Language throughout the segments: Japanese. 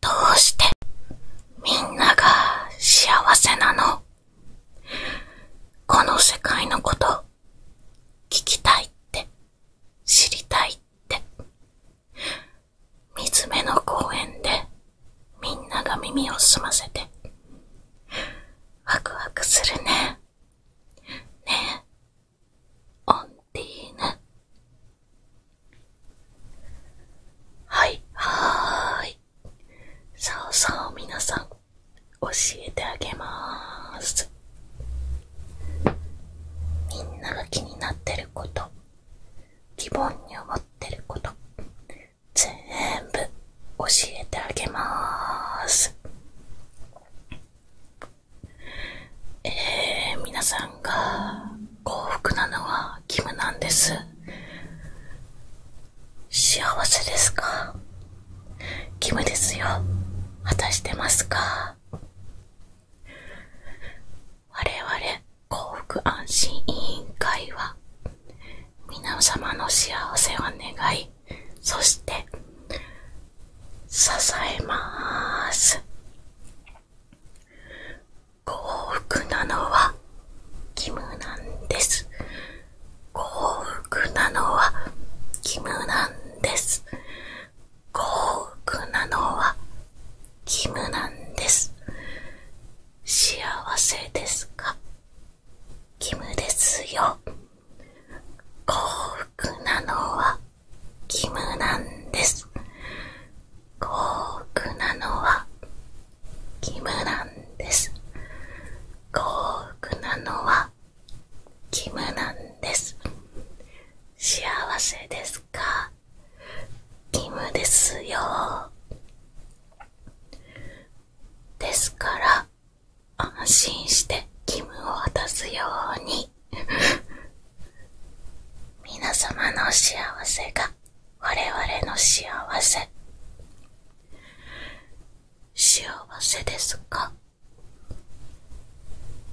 どうしてみんなが幸せなのこの世界のこと聞きたいって知りたいって水辺の公園でみんなが耳を澄ませてワクワクするねねえオンティーヌはい、はーい。さあさあ皆さん、教えてあげます。みんなが気になってること、疑問に思ってること、全部教えてあげます。えみなさんが幸福なのは義務なんです。幸せですか義務ですよ。果たしてますか我々幸福安心委員会は皆様の幸せを願い、そして支えます。幸福なのは義務なんです。幸福なのは義務なんです。幸福なのは義務なんです。幸せですか義務ですよ。幸福なのはキムなんです。幸福なのはキムなんです。幸福なのはキムなんです。幸せですかキムですよ。ですから安心してキムを渡すように 皆様の幸せが我々の幸せ幸せですか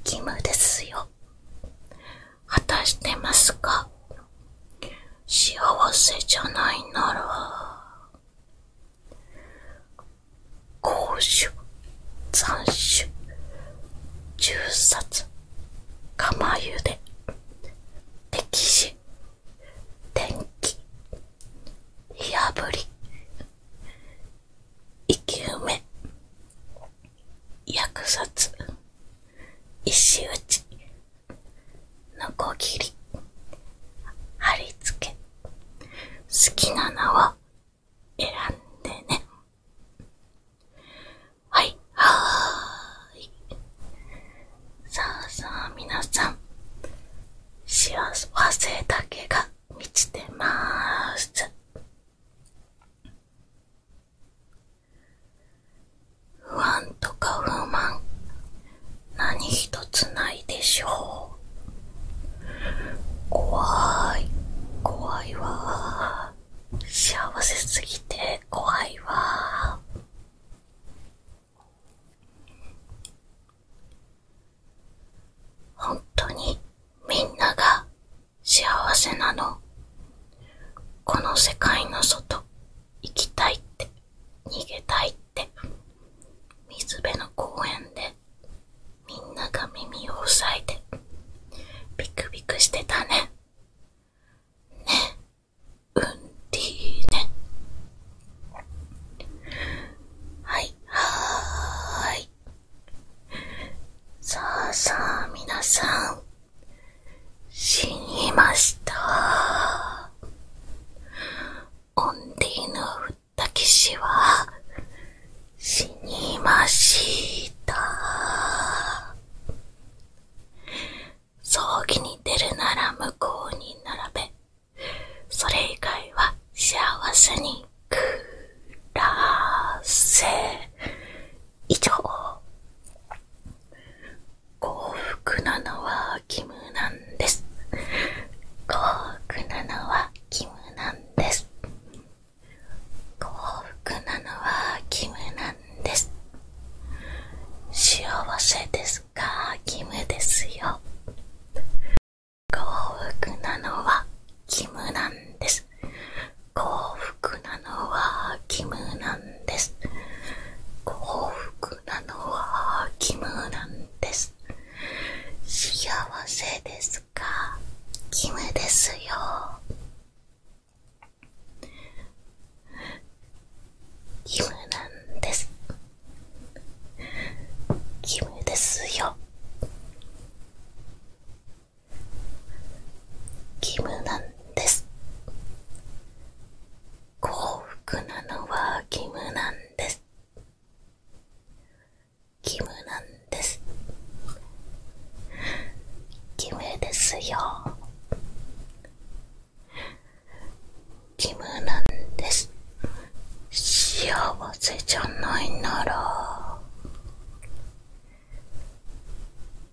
義務ですよ果たしてますか幸せじゃないなら公主残首銃殺釜ゆで歴史天気火あぶり生き埋め薬殺石打ちのこぎり貼り付け好きな名は選んでね。はい、はーい。さあさあ、みなさん。幸せだけが満ちてまーす。不安とか不満、何とつないでしょう。怖い、怖いわ幸せすぎて怖いわ本当にみんなが幸せなのこの世界の外行きたいって逃げたいって水辺の公園でみんなが耳をさえて、ビクビクしてたねねうんてぃねはいはーいさあさあみなさん死にましたオンディのふったきしは死にました。葬儀に出るなら向こうに並べ。それ以外は幸せに暮らせ。以上。幸福なのはキムなんです。幸福なのはキムなんです。幸福なのはキムなんです。幸せですかキムですよ。幸福なのはキムなんです。幸福なのはキムなんです。幸福なのはキムなんです。幸せですキムですよキムなんですキムですよキムなんです幸福なのはキムなんですキムなんですキムですよキムなんです幸せじゃないなら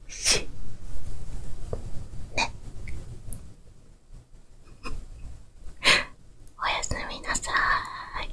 しねおやすみなさい